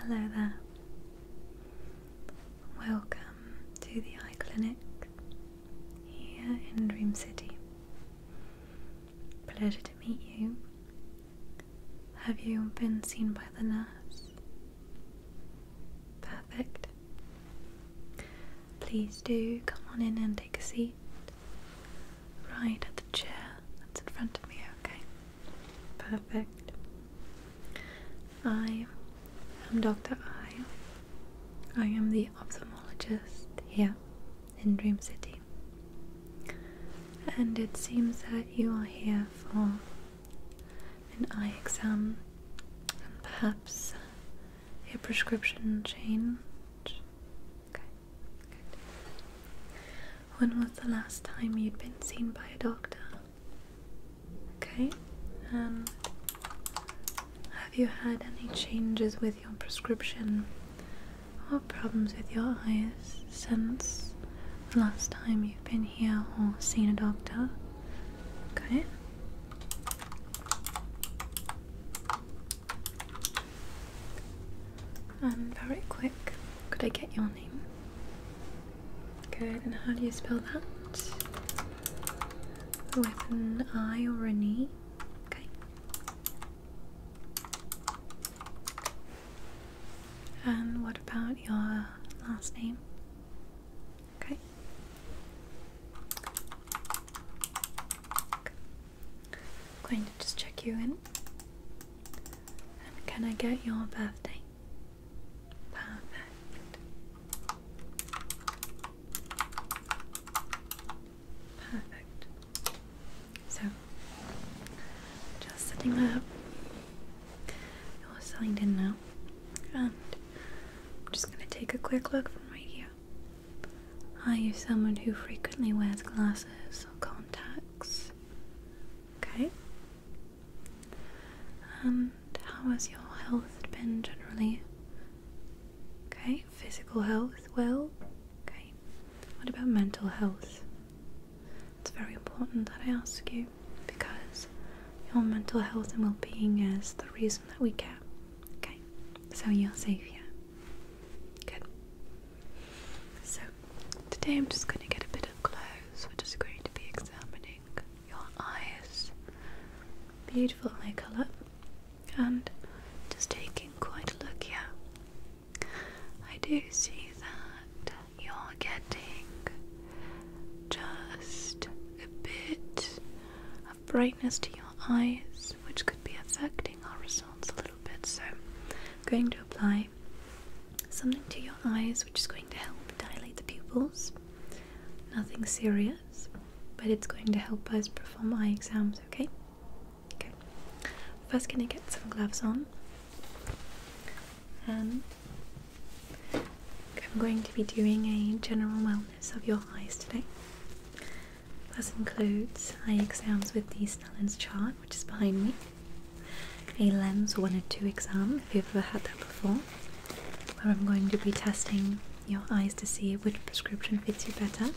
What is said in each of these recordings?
hello there. Welcome to the eye clinic here in Dream City. Pleasure to meet you. Have you been seen by the nurse? Perfect. Please do come on in and take a seat. Right at the chair that's in front of me, okay? Perfect. I am Dr. I. I am the ophthalmologist here in Dream City. And it seems that you are here for an eye exam and perhaps a prescription change. Okay, When was the last time you'd been seen by a doctor? Okay, and um, have you had any changes with your prescription what problems with your eyes since the last time you've been here or seen a doctor. Okay? And um, very quick, could I get your name? Good, and how do you spell that? With an I or an E? Okay. And what about your last name? Okay. I'm going to just check you in. And can I get your birthday? Perfect. Perfect. So, just setting that up. It was signed in now. And just going to take a quick look from right here. Are you someone who frequently wears glasses or contacts? Okay. And how has your health been generally? Okay, physical health, well, okay. What about mental health? It's very important that I ask you because your mental health and well being is the reason that we care. Okay? So you're safe here. Good. So today I'm just going to get a bit of close. We're just going to be examining your eyes. Beautiful eye colour. And just taking quite a look here I do see that you're getting just a bit of brightness to your eyes, which could be affecting our results a little bit. So, I'm going to apply something to your eyes which is going to help dilate the pupils. Nothing serious, but it's going to help us perform eye exams, okay? Okay. First, gonna get some gloves on. Um, I'm going to be doing a general wellness of your eyes today. This includes eye exams with the Snellen's chart, which is behind me, a lens 1 or 2 exam, if you've ever had that before, where I'm going to be testing your eyes to see which prescription fits you better.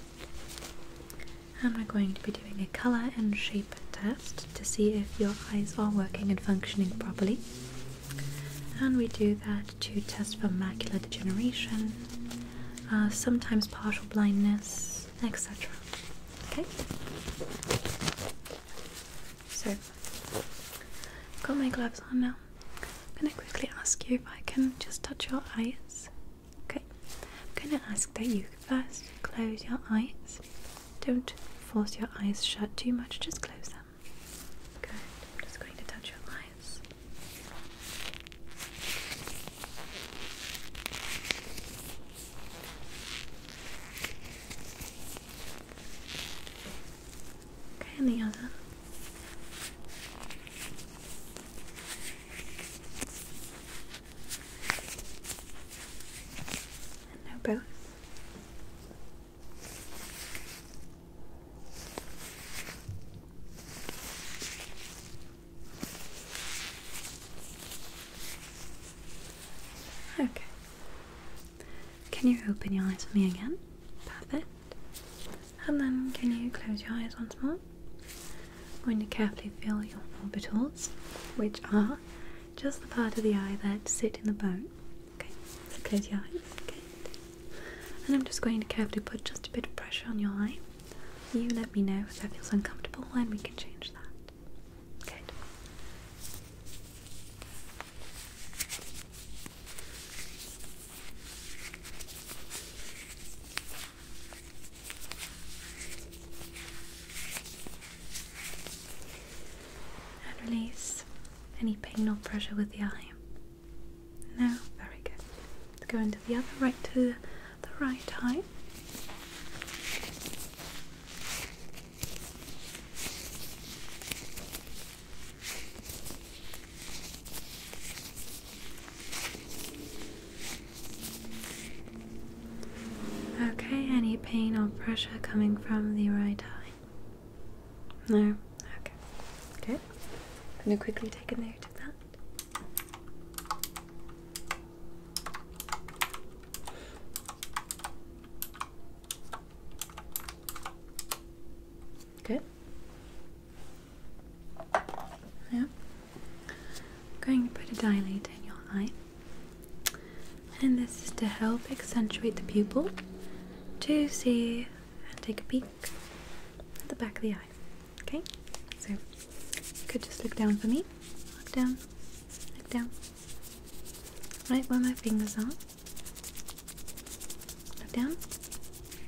I'm going to be doing a colour and shape test to see if your eyes are working and functioning properly. And we do that to test for macular degeneration, uh, sometimes partial blindness, etc. Okay? So, I've got my gloves on now. I'm going to quickly ask you if I can just touch your eyes. Okay? I'm going to ask that you first close your eyes. Don't force your eyes shut too much, just close them. Good. I'm just going to touch your eyes. Okay, the other. And now both. Okay. Can you open your eyes for me again? Perfect. And then can you close your eyes once more? I'm to carefully feel your orbitals, which are just the part of the eye that sit in the bone. Okay, so close your eyes. Okay, And I'm just going to carefully put just a bit of pressure on your eye. You let me know if that feels uncomfortable and we can change that. Good. And release any pain or pressure with the eye. No, very good. Let's go into the other right to the right eye. Okay, any pain or pressure coming from the right eye? No? Okay. Good. I'm going to quickly take a note of that. Good. Yeah. I'm going to put a dilator in your eye. And this is to help accentuate the pupil to see and take a peek at the back of the eye. Okay? So, you could just look down for me. Look down. Look down. Right where my fingers are. Look down.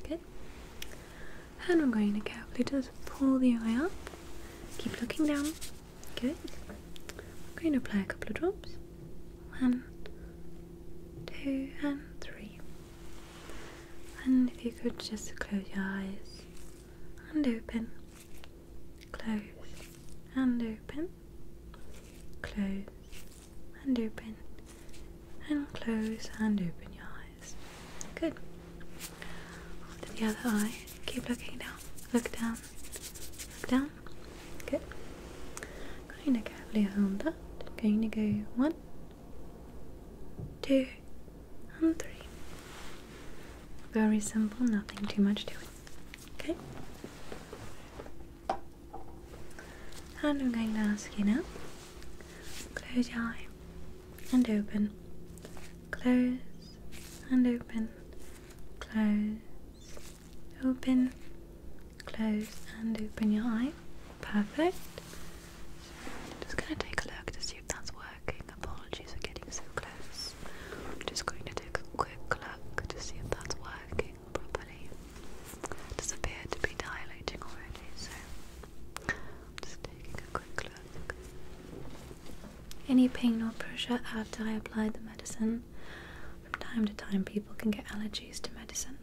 Good. And I'm going to carefully just pull the eye up. Keep looking down. Good. I'm going to apply a couple of drops. One, two, and three. And if you could just close your eyes and open, close and open, close and open, and close and open your eyes. Good. the other eye, keep looking down, look down, look down, Good. Going to carefully hold that. Going to go one, two, and three. Very simple, nothing too much to it. Okay. And I'm going to ask you now. Close your eye and open. Close and open. Close Open, close, and open your eye. Perfect. Just going to take a look to see if that's working. Apologies for getting so close. I'm just going to take a quick look to see if that's working properly. It does appear to be dilating already, so I'm just taking a quick look any pain or pressure after I apply the medicine. From time to time, people can get allergies to medicine.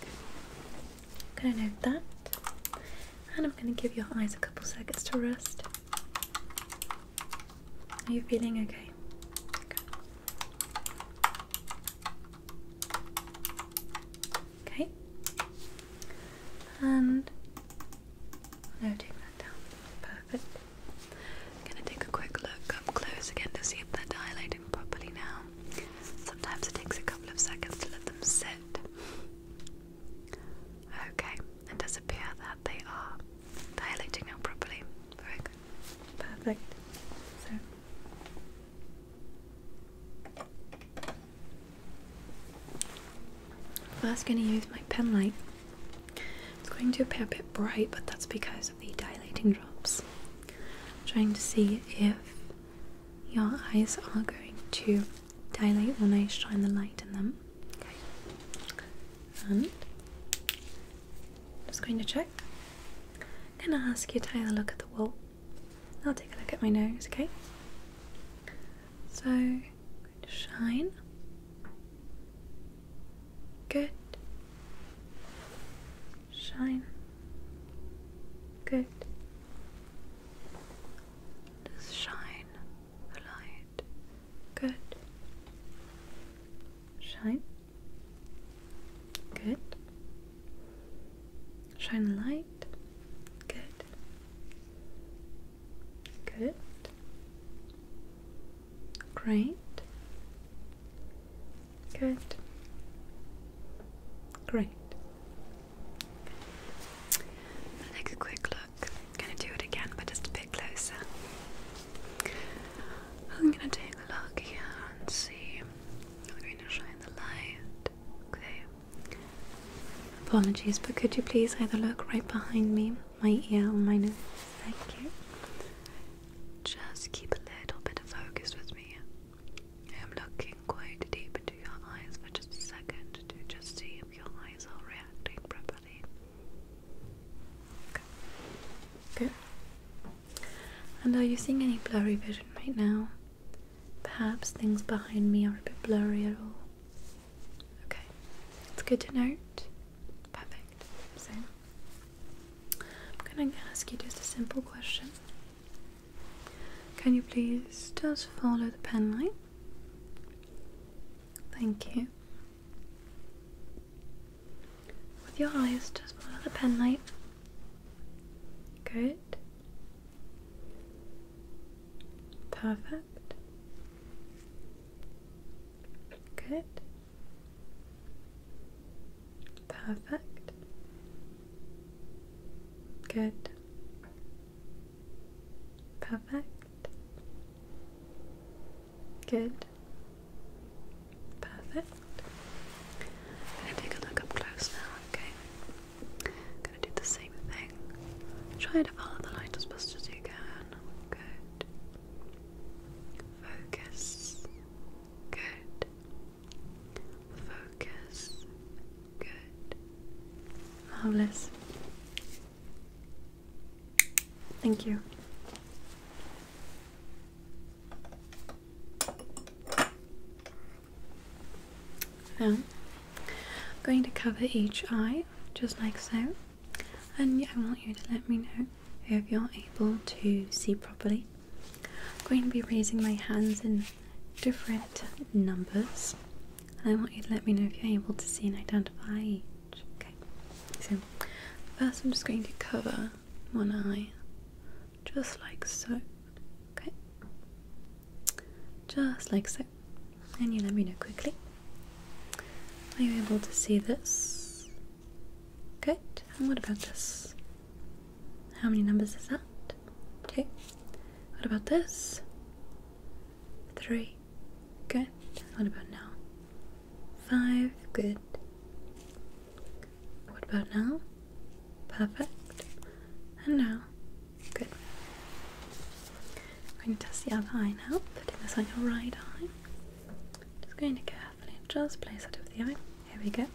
I'm going to note that, and I'm going to give your eyes a couple seconds to rest. Are you feeling okay? Okay. okay. And noting that down. Perfect. I'm gonna take a quick look up close again to see if they're dilating properly now. Sometimes it takes a couple of seconds to let them sit. Okay, it does appear that they are dilating now properly. Very good. Perfect. So First, going to use my pen light it's going to appear a bit bright, but that's because of the dilating drops. trying to see if your eyes are going to dilate when I shine the light in them. Okay. And just going to check. I'm gonna ask you to have a look at the wall. I'll take a look at my nose, okay? So Going shine. Good. Shine. Good. shine the light. Good. Shine. Good. Shine the light. Good. Good. Great. Good. Great. I'll take a quick look. I'm going to do it again, but just a bit closer. I'm going to take a look here and see. I'm going to shine the light. Okay. Apologies, but could you please either look right behind me my ear or my nose. Thank you. Just keep a little bit of focus with me. I'm looking quite deep into your eyes for just a second to just see if your eyes are reacting properly. Okay. Good. And are you seeing any blurry vision right now? Perhaps things behind me are a bit blurry at all. Okay, it's good to note. Perfect perfect. I'm going to ask you just a simple question. Can you please just follow the pen line? Thank you. With your eyes, just follow the pen line. Good. Perfect. Good. Perfect. Good. Perfect. Good. Perfect. I'm gonna take a look up close now, okay? I'm gonna do the same thing. Try to follow the light as best as you can. Good. Focus. Good. Focus. Good. Marvelous. Thank you. Now, I'm going to cover each eye just like so. And yeah, I want you to let me know if you're able to see properly. I'm going to be raising my hands in different numbers. And I want you to let me know if you're able to see and identify each. Okay. So first I'm just going to cover one eye. Just like so. Okay. Just like so. And you let me know quickly. Are you able to see this? Good. And what about this? How many numbers is that? Two. What about this? Three. Good. What about now? Five. Good. What about now? Perfect. And now? Good. I'm going to test the other eye now, putting this on your right eye. Just going to carefully just place that over the eye. Here we go.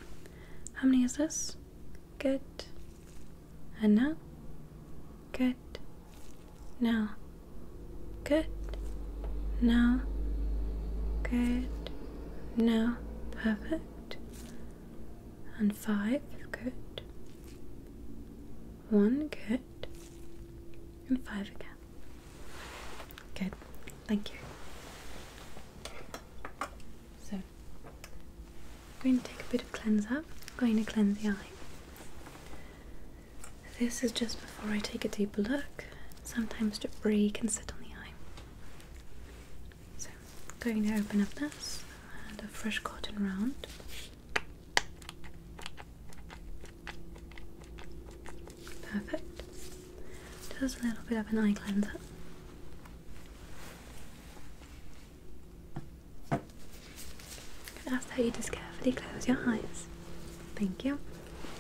How many is this? Good. And now? Good. Now. Good. Now. Good. Now. Perfect. And five. Good. One. Good. And five again. Good. Thank you. So, I'm going to take a bit of cleanser. I'm going to cleanse the eye. This is just before I take a deeper look. Sometimes debris can sit on the eye. So, I'm going to open up this and a fresh cotton round. Perfect. Just a little bit of an eye cleanser. That's how you just carefully close your eyes. Thank you.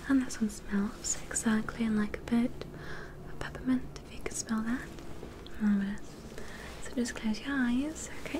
And this one smells exactly like a bit of peppermint, if you can smell that. So just close your eyes, okay?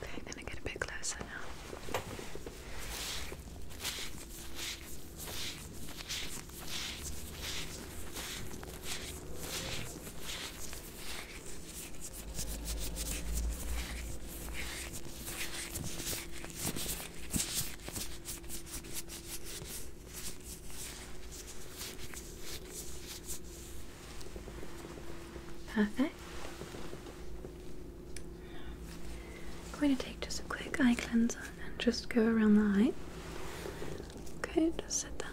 Okay, I'm gonna get a bit closer now. Perfect. I'm going to take just a quick eye cleanser and just go around the eye. Okay, just set that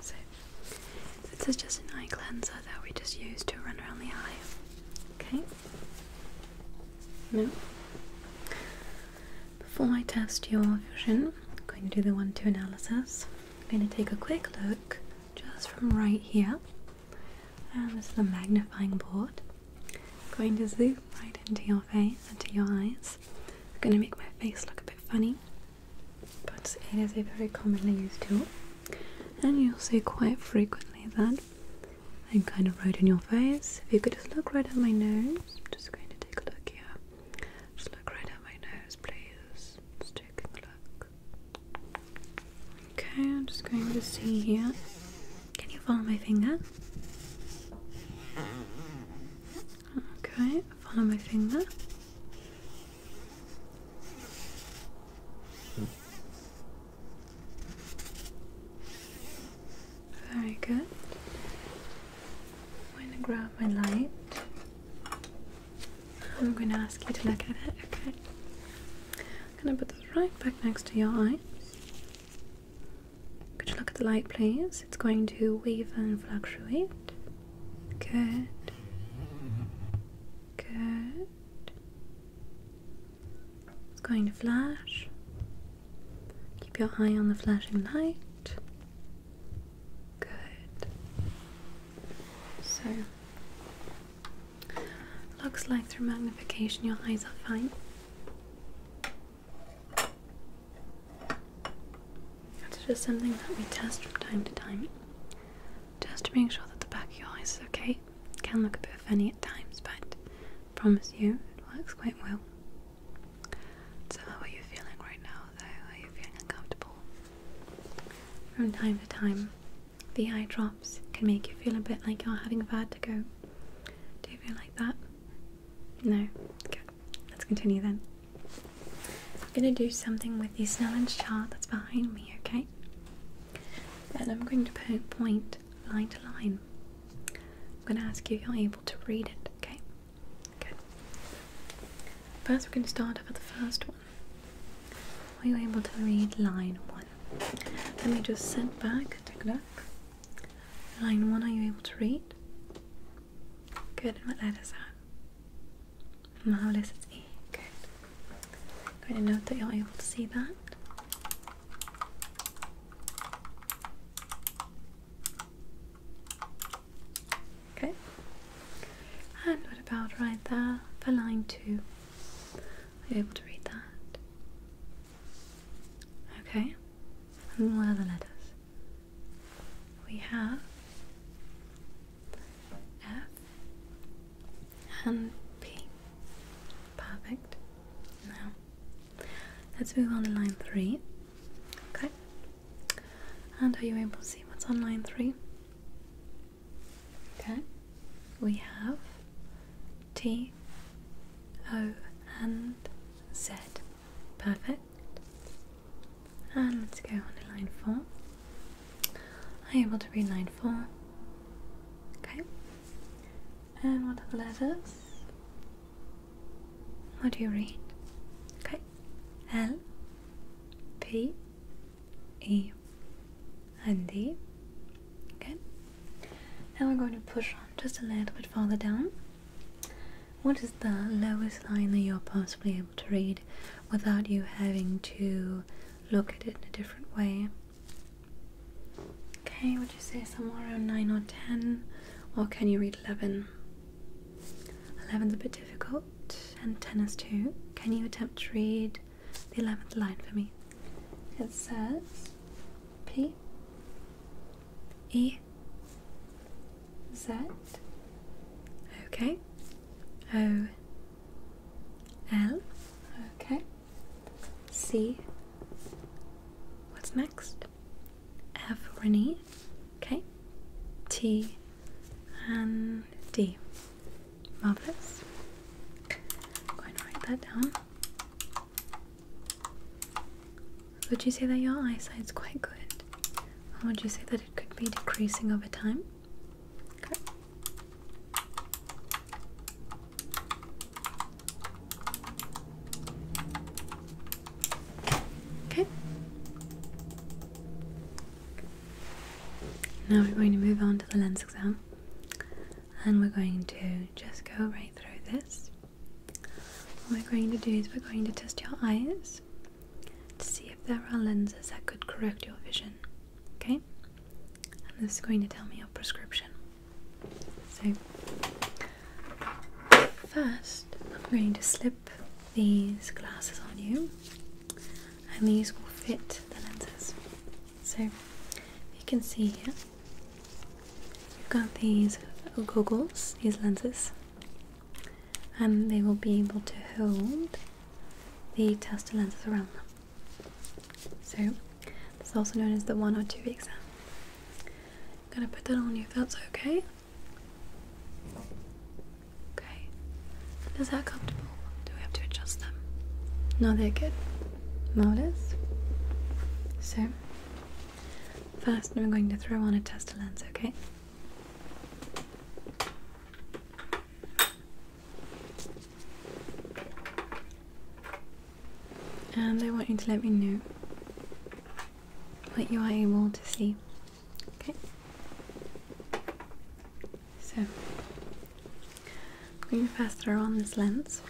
So this is just an eye cleanser that we just use to run around the eye. Okay. Now, before I test your vision, I'm going to do the one-two analysis. I'm going to take a quick look just from right here. And um, this is a magnifying board. going to zoom right into your face, into your eyes. I'm going to make my face look a bit funny, but it is a very commonly used tool. And you'll see quite frequently that I'm kind of right in your face. If you could just look right at my nose, just going to take a look here. Just look right at my nose, please. Just Okay, I'm just going to see here. Can you follow my finger? Okay, follow my finger. Very good. I'm going to grab my light. I'm going to ask you to look at it, okay? I'm going to put this right back next to your eyes. Could you look at the light, please? It's going to wave and fluctuate. Good. Good. It's going to flash. Keep your eye on the flashing light. Good. So, looks like through magnification your eyes are fine. That's just something that we test from time to time, just to make sure that the back of your eyes is okay. It can look a bit funny at times, but promise you it works quite well. So, how are you feeling right now? Are you feeling uncomfortable? From time to time, the eye drops can make you feel a bit like you're having a vertigo. Do you feel like that? No? Good. Let's continue then. I'm going to do something with the Snellen's chart that's behind me, okay? And I'm going to point line to line. I'm going to ask you if you're able to read it, okay? Okay. First, we're going to start with the first one. Are you able to read line one? Let me just send back, take a look. Line one, are you able to read? Good, and what letter is that? Marvelous, it's E. Good. going to note that you're able to see that. Okay. And what about right there for line two? Are you able to read that? Okay. And what are the letters? We have F and P. Perfect. Now let's move on to line three. Okay. And are you able to see what's on line three? Okay, we have T, O, and Z. Perfect. And let's go on to line four. Are you able to read line four? Okay. And what are the letters? What do you read? Okay. L, P, a and D. Okay. Now we're going to push on just a little bit further down. What is the lowest line that you're possibly able to read without you having to look at it in a different way? Okay, would you say somewhere around 9 or 10? Or can you read 11? is a bit difficult, and ten is too. Can you attempt to read the eleventh line for me? It says P E Z. Okay. O L. Okay. C. What's next? F. Renee. Okay. T and D. Marvelous. going to write that down. Would you say that your eyesight is quite good? would you say that it could be decreasing over time? Okay. Okay. Now we're going to move on to the lens exam and we're going to just go right through this. What we're going to do is we're going to test your eyes to see if there are lenses that could correct your vision. Okay? And this is going to tell me your prescription. So, first, I'm going to slip these glasses on you and these will fit the lenses, So you can see here, you've got these goggles, these lenses, and they will be able to hold the tester lenses around them. So it's also known as the one or two exam. I'm gonna put that on you that's okay. Okay. Is that comfortable? Do we have to adjust them? No, they're good. Notice? So, first I'm going to throw on a tester lens, okay? And I want you to let me know what you are able to see. Okay? So, I'm going to first throw on this lens,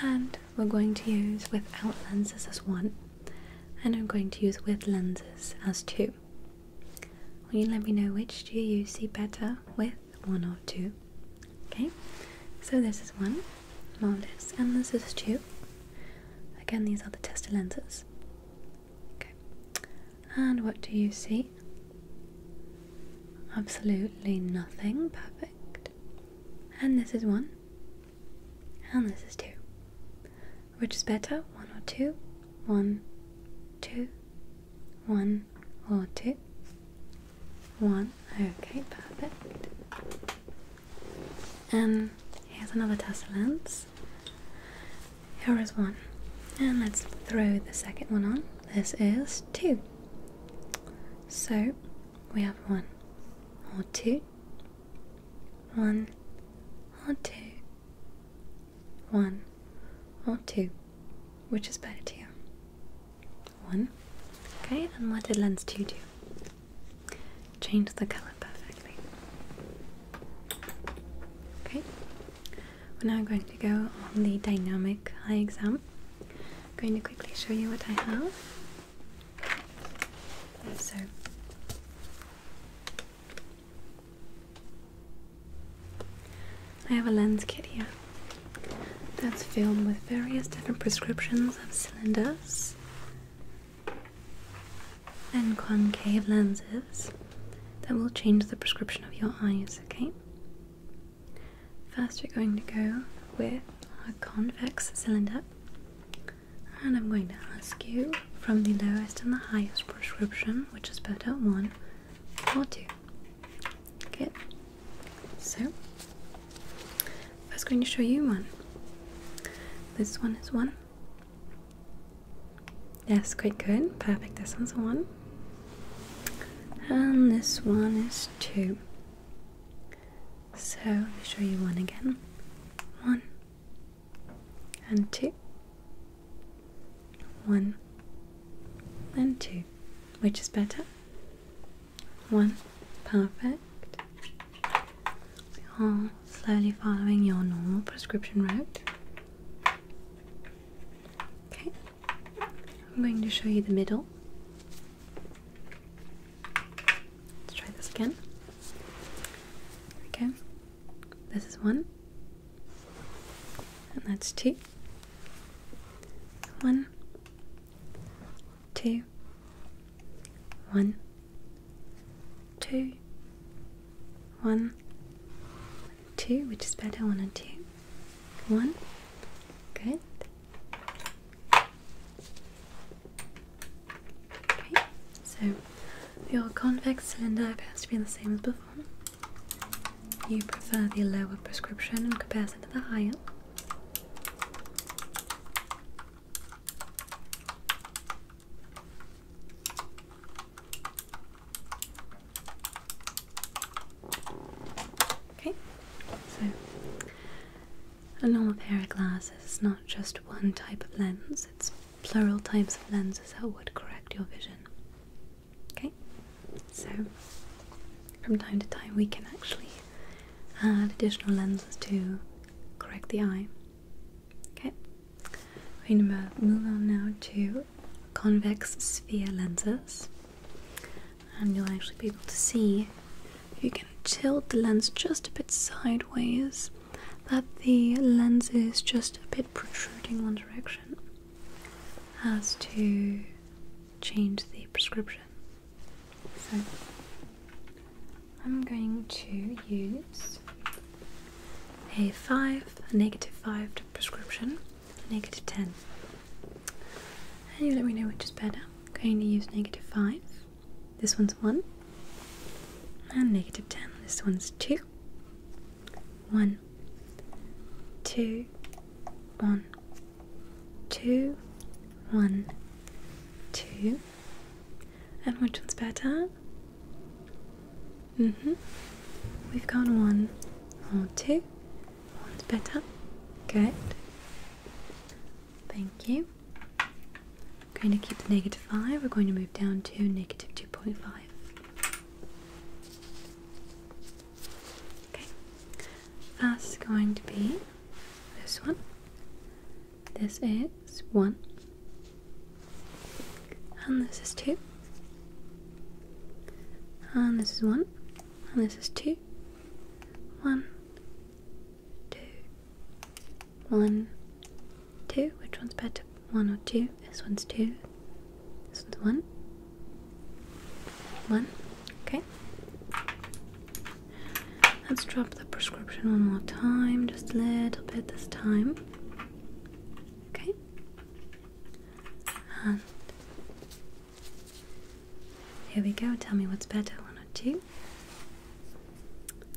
and we're going to use without lenses as one, and I'm going to use with lenses as two. Will you let me know which do you see better with one or two? Okay, so this is one, marvelous, and this is two. Again, these are the tester lenses. Okay. And what do you see? Absolutely nothing. Perfect. And this is one. And this is two. Which is better? One or two? One, two, one or two? One. Okay, perfect. And um, here's another tassel lens. Here is one. And let's throw the second one on. This is two. So we have one or two, one or two, one or two. Which is better to you? One. Okay, and what did lens two do? Change the colour, perfect. Okay, we're now going to go on the dynamic eye exam. I'm going to quickly show you what I have. So, I have a lens kit here that's filled with various different prescriptions of cylinders and concave lenses that will change the prescription of your eyes, okay? First, we're going to go with a convex cylinder, and I'm going to ask you from the lowest and the highest prescription, which is better, one or two. Okay. So, I'm first, going to show you one. This one is one, that's quite good. Perfect. This one's one. And this one is two. So let me show you one again. One and two. One and two. Which is better? One. Perfect. We slowly following your normal prescription route. Okay, I'm going to show you the middle. Let's try this again. Okay, this is one, and that's two. One, two, one, two, one, two, which is better, one or two, one, good, okay, so your convex cylinder appears to be the same as before. You prefer the lower prescription in comparison to the higher. Okay, so a normal pair of glasses is not just one type of lens, it's plural types of lenses that would correct your vision. Okay, so from time to time we can actually add additional lenses to correct the eye. Okay, we're going to move on now to convex sphere lenses, and you'll actually be able to see you can tilt the lens just a bit sideways that the lens is just a bit protruding one direction as to change the prescription. So I'm going to use a 5, a negative 5 prescription, 10. And you let me know which is better. I'm going to use negative 5. This one's 1. And negative 10. This one's 2. 1. 2. 1. 2. 1. 2. And which one's better? Mm-hmm. We've gone one or two. One's better. Good. Thank you. I'm going to keep the negative 5. We're going to move down to negative 2.5. Okay. That's going to be this one. This is 1. And this is two. And this is one. And this is two. One, two, one, two. Which one's better? One or two? This one's two. This one's one. One. Okay. Let's drop the prescription one more time, just a little bit this time. Okay here we go. Tell me what's better, one or two.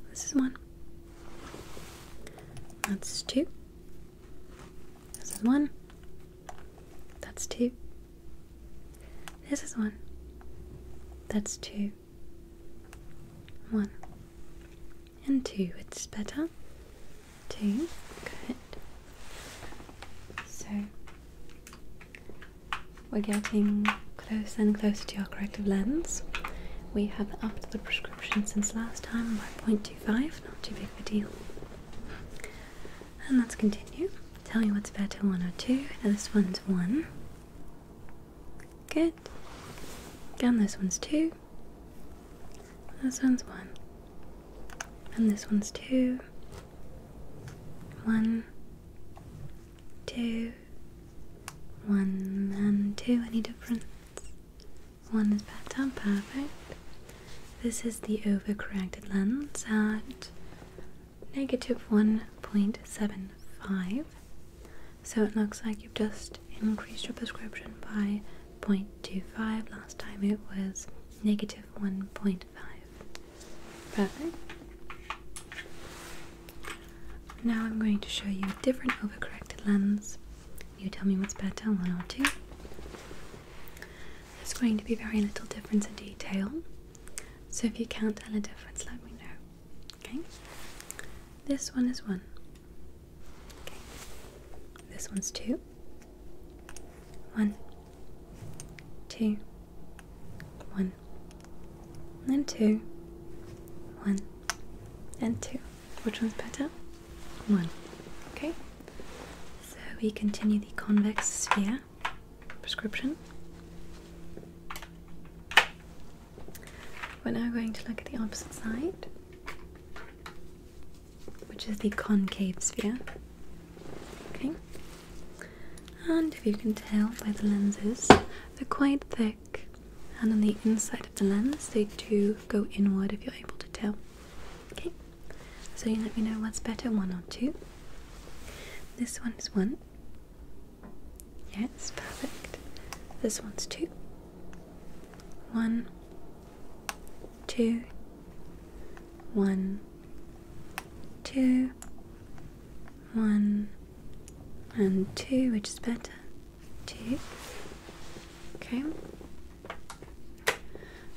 This is one. That's two. This is one. That's two. This is one. That's two. One. And two, it's better. Two, good. So we're getting closer and closer to our corrective lens. We have upped the prescription since last time by 0.25, not too big of a deal. And let's continue. Tell me what's better, one or two. this one's one. Good. And this one's two. This one's one. And this one's two. One, two, one, and two. Any difference? One is better, perfect. This is the overcorrected lens at negative 1.75. So it looks like you've just increased your prescription by 0.25. Last time it was negative 1.5. Perfect. Now I'm going to show you a different overcorrected lens. You tell me what's better, one or two. There's going to be very little difference in detail. So if you can't tell a difference, let me know. Okay? This one is one. This one's two, 121 One, two, one, and two, one, and two. Which one's better? One. Okay. So we continue the convex sphere prescription. We're now going to look at the opposite side which is the concave sphere. Okay, and if you can tell by the lenses, they're quite thick, and on the inside of the lens, they do go inward if you're able to tell. Okay, so you let me know what's better, one or two. This one is one. Yes, perfect. This one's two. One, two, one, two, one, and two, which is better. Two. Okay.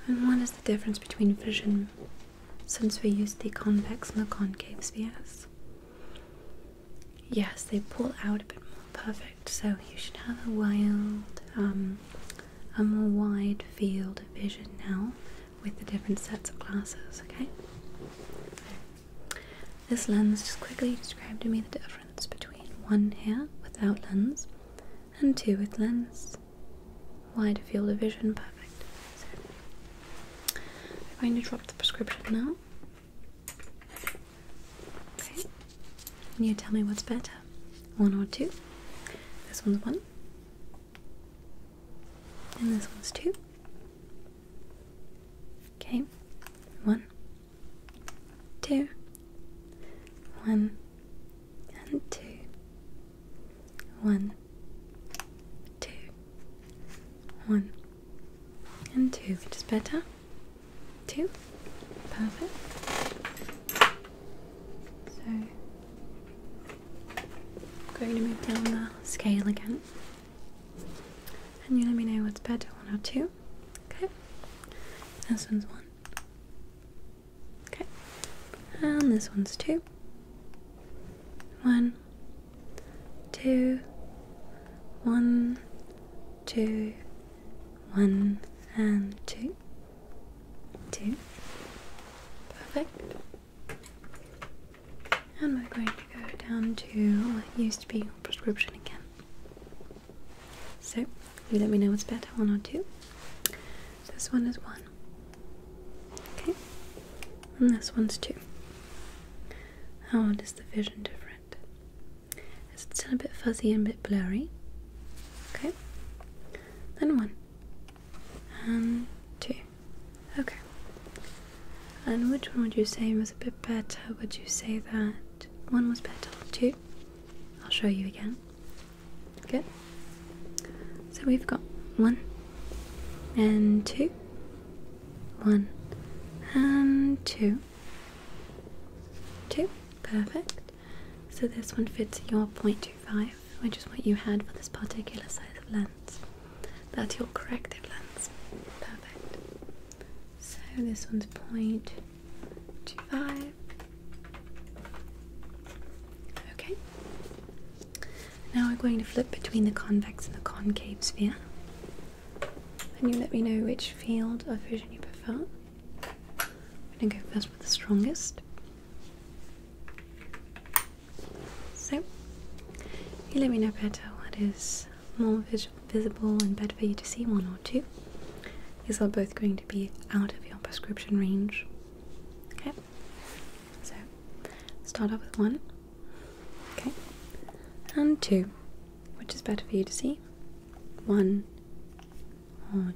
And what is the difference between vision since we use the convex and the concave spheres? Yes, they pull out a bit more. Perfect. So you should have a wild, um, a more wide field of vision now with the different sets of glasses. Okay. This lens just quickly described to me the difference between one here without lens and two with lens. Wider field of vision. Perfect. So, I'm going to drop the prescription now. Can you tell me what's better? One or two? This one's one. And this one's two. Okay. one, two, one, And two. And two. Which is better? Two. Perfect. So I'm going to move down the scale again. And you let me know what's better, one or two. Okay. This one's one. Okay. And this one's two. One, two, one, two, one and two. Two. Perfect. And we're going to go down to what used to be prescription again. So, you let me know what's better, one or two. This one is one. Okay. And this one's two. How does the vision different? It's still a bit fuzzy and a bit blurry. Okay. Then one. And two. Okay. And which one would you say was a bit better? Would you say that one was better or two? I'll show you again. Good. So we've got one and two. One and two. Two. Perfect. So this one fits your 0.25, which is what you had for this particular size of lens. That's your corrective lens. Perfect. So this one's 0.25. Okay. Now we're going to flip between the convex and the concave sphere. And you let me know which field of vision you prefer. I'm gonna go first with the strongest. So, you let me know better what is more visible and better for you to see, one or two. These are both going to be out of your prescription range. Okay, so start off with one. Okay, and two. Which is better for you to see? One or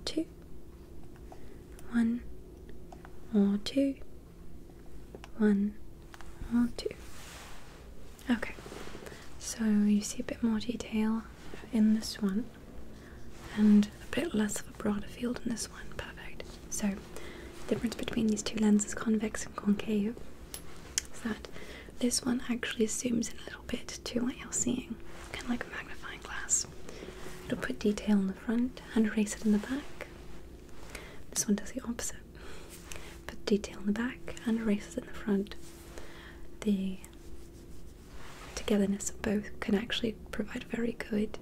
Okay, so you see a bit more detail in this one and a bit less of a broader field in this one. Perfect. So, the difference between these two lenses, convex and concave, is that this one actually zooms in a little bit to what you're seeing kind of like a magnifying glass. It'll put detail in the front and erase it in the back. This one does the opposite. Put detail in the back and erase it in the front. The togetherness of both can actually provide very good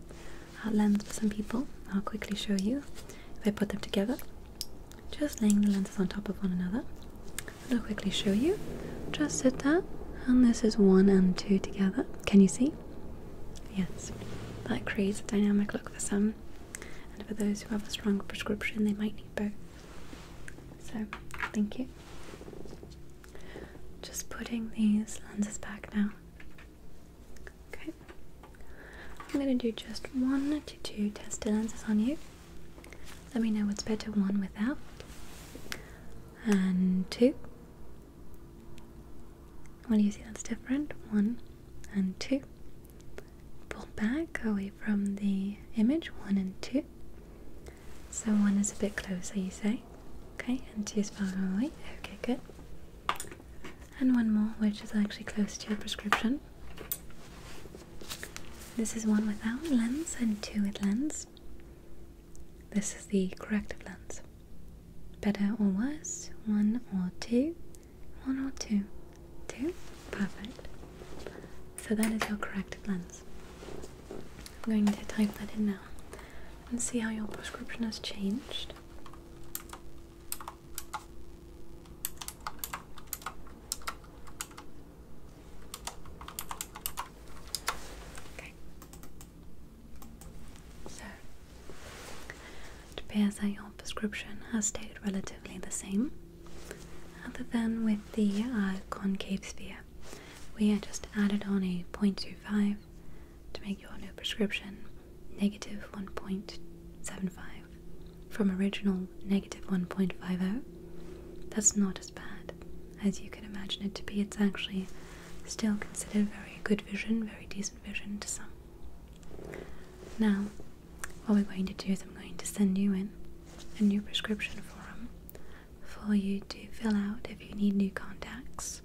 uh, lens for some people. I'll quickly show you if I put them together. Just laying the lenses on top of one another. I'll quickly show you. Just sit there, and this is one and two together. Can you see? Yes, that creates a dynamic look for some, and for those who have a strong prescription, they might need both. So, thank you. Just putting these lenses back now. Okay, I'm going to do just one to two tester lenses on you. Let me know what's better, one without and two. Well, you see that's different. One and two. Pull back away from the image. One and two. So one is a bit closer, you say? Okay, and two is farther away. Okay, good. And one more, which is actually close to your prescription. This is one without lens and two with lens. This is the corrective lens. Better or worse? One or two? One or two? Two? Perfect. So that is your corrective lens. I'm going to type that in now and see how your prescription has changed. So, it appears that your prescription has stayed relatively the same, other than with the uh, concave sphere. We just added on a 0.25 to make your new prescription negative 1.75 from original negative 1.50. That's not as bad as you can imagine it to be. It's actually still considered very good vision, very decent vision to some. Now, what we're going to do is I'm going to send you in a new prescription form for you to fill out if you need new contacts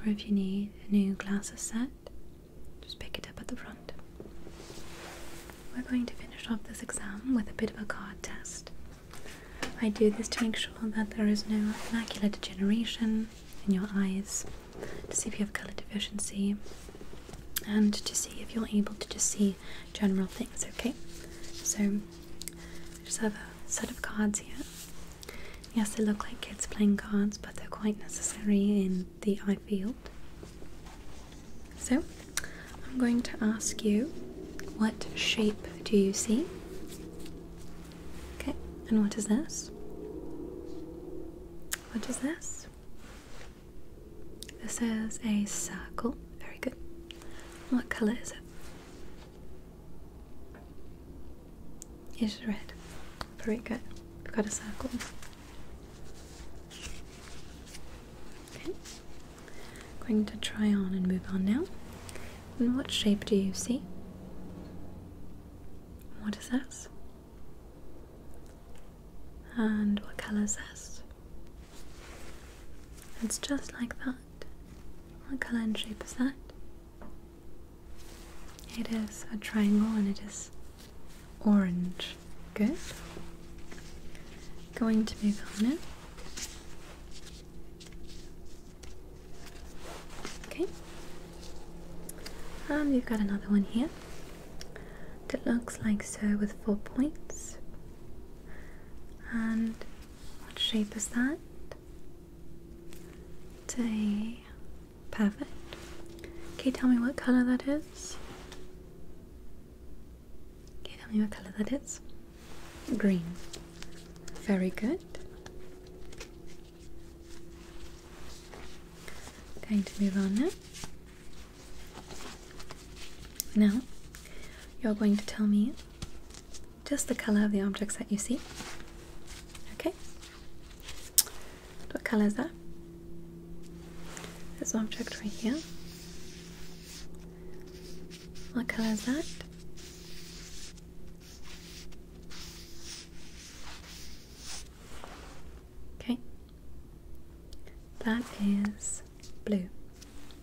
or if you need a new glasses set. Just pick it up at the front. We're going to finish off this exam with a bit of a card test. I do this to make sure that there is no macular degeneration in your eyes, to see if you have color deficiency, and to see if you're able to just see general things, okay? So, I just have a set of cards here. Yes, they look like kids playing cards, but they're quite necessary in the eye field. So, I'm going to ask you what shape do you see? Okay, and what is this? What is this? This is a circle. Very good. What colour is it? It's red. Very good. We've got a circle. Okay. I'm going to try on and move on now. And what shape do you see? What is this? And what colour is this? It's just like that. What colour and shape is that? It is a triangle and it is orange. Good. Going to move on now. Okay. And um, we've got another one here that looks like so with four points. And what shape is that? It's a perfect. Okay, tell me what color that is. Okay, tell me what color that is. Green. Very good. Going to move on now. Now, you're going to tell me just the color of the objects that you see. Okay? What color is that? This object right here. What color is that? Okay. That is blue.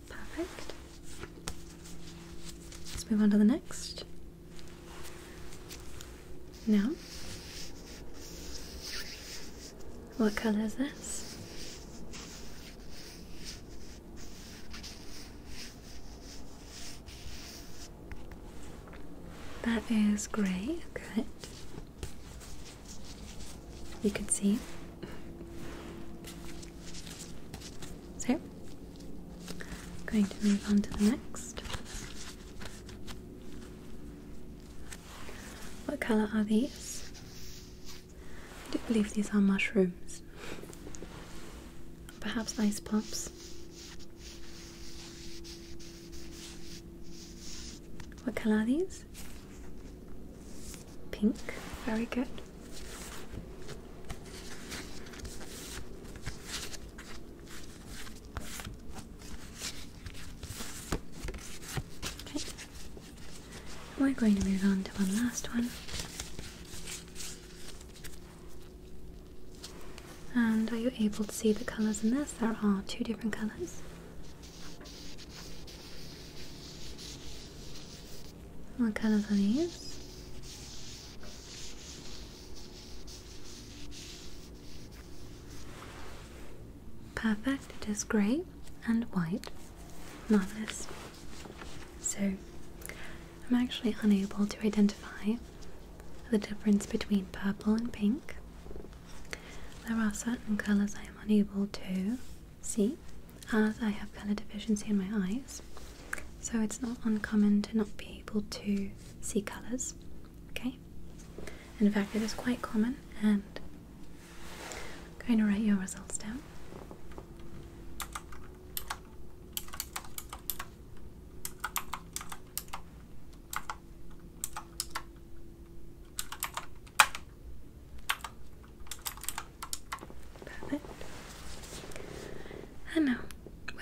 Perfect. Let's move on to the next. Now, what color is this? That great. good. You can see. So, i going to move on to the next. What colour are these? I do not believe these are mushrooms. Perhaps ice pops. What colour are these? Pink. Very good. Okay. We're going to move on to one last one. And are you able to see the colours in this? There are two different colours. What colours are these? Perfect, it is grey and white. Marvellous. So, I'm actually unable to identify the difference between purple and pink. There are certain colours I am unable to see as I have colour deficiency in my eyes, so it's not uncommon to not be able to see colours. Okay? In fact, it is quite common, and I'm going to write your results down. Perfect. And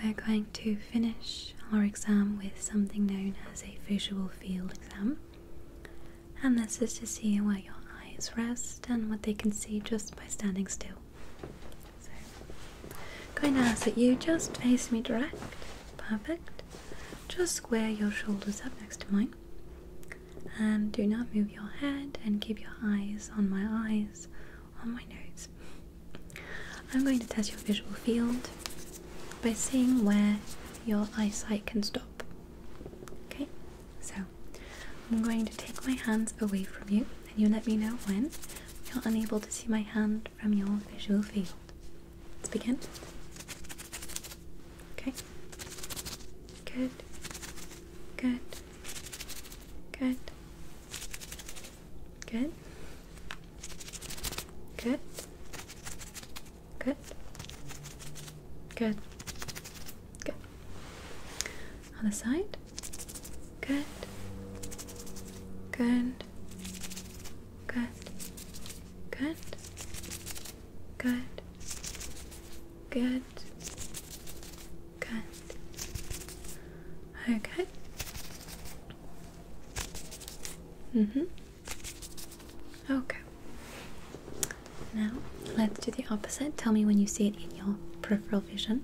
we're going to finish our exam with something known as a visual field exam. And this is to see where your eyes rest and what they can see just by standing still. So, going to ask that you just face me direct. Perfect. Just square your shoulders up next to mine. And do not move your head and keep your eyes on my eyes, on my nose. I'm going to test your visual field by seeing where your eyesight can stop. Okay, so I'm going to take my hands away from you, and you let me know when you're unable to see my hand from your visual field. Let's begin. Okay. Good. Good. Good. Good. Good. Good. Good. Good. the side. Good. Good. Good. Good. Good. Good. Good. Okay. Mhm. Mm okay. Now let's do the opposite. Tell me when you see it in your peripheral vision.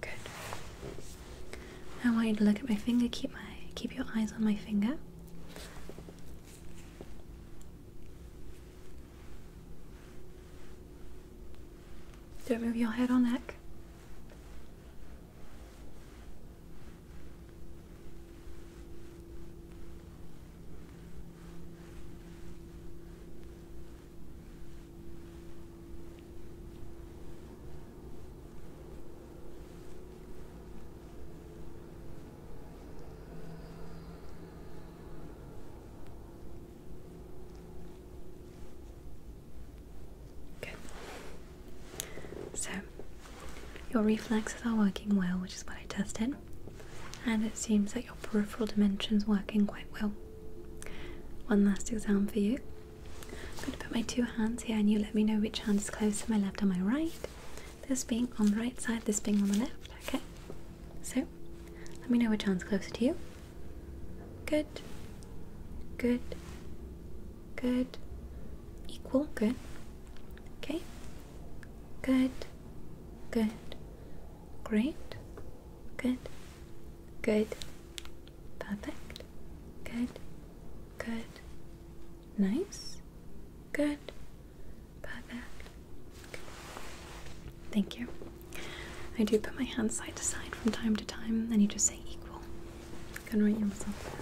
Good. I want you to look at my finger. Keep my keep your eyes on my finger. Don't move your head or neck. Good. So, your reflexes are working well, which is what I tested, and it seems that your peripheral dimension's working quite well. One last exam for you. I'm going to put my two hands here and you let me know which hand is closer, to my left or my right. This being on the right side, this being on the left, okay? So, let me know which hand's closer to you. Good. Good. Good. Equal. Good. Okay. Good. Good. Great. Good. Good. Perfect. Good. Good. Nice. Good. Perfect. Thank you. I do put my hands side to side from time to time, and you just say equal. You can write yourself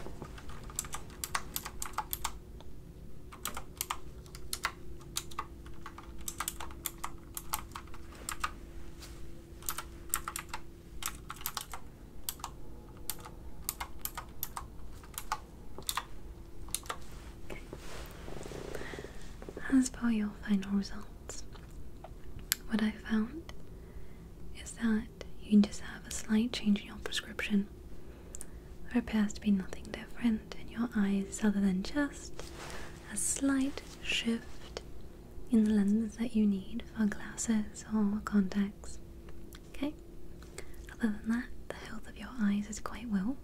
Okay. As for your final results, what I found is that you can just have a slight change in your prescription. There appears to be nothing different in your eyes other than just a slight shift in the lenses that you need for glasses or contacts. Okay? Other than that, the health of your eyes is quite well.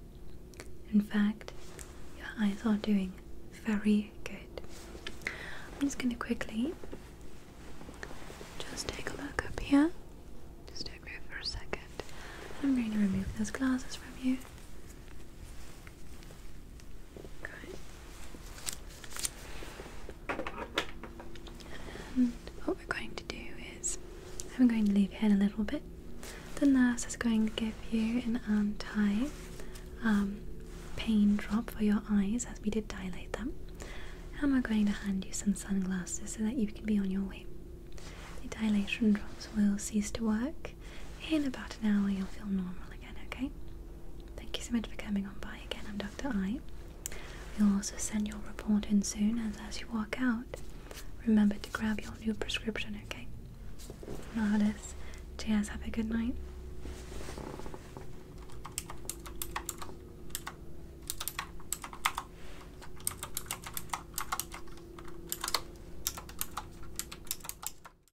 In fact, your eyes are doing very good. I'm just going to quickly just take a look up here. Just don't move for a second. I'm going to remove those glasses from you what we're going to do is, I'm going to leave you in a little bit. The nurse is going to give you an anti um, pain drop for your eyes as we did dilate them. I'm going to hand you some sunglasses so that you can be on your way. The dilation drops will cease to work in about an hour you'll feel normal again, okay? Thank you so much for coming on by again. I'm Dr. I. am doctor i we will also send your report in soon and as you walk out, remember to grab your new prescription, okay? Marvelous. Cheers, have a good night.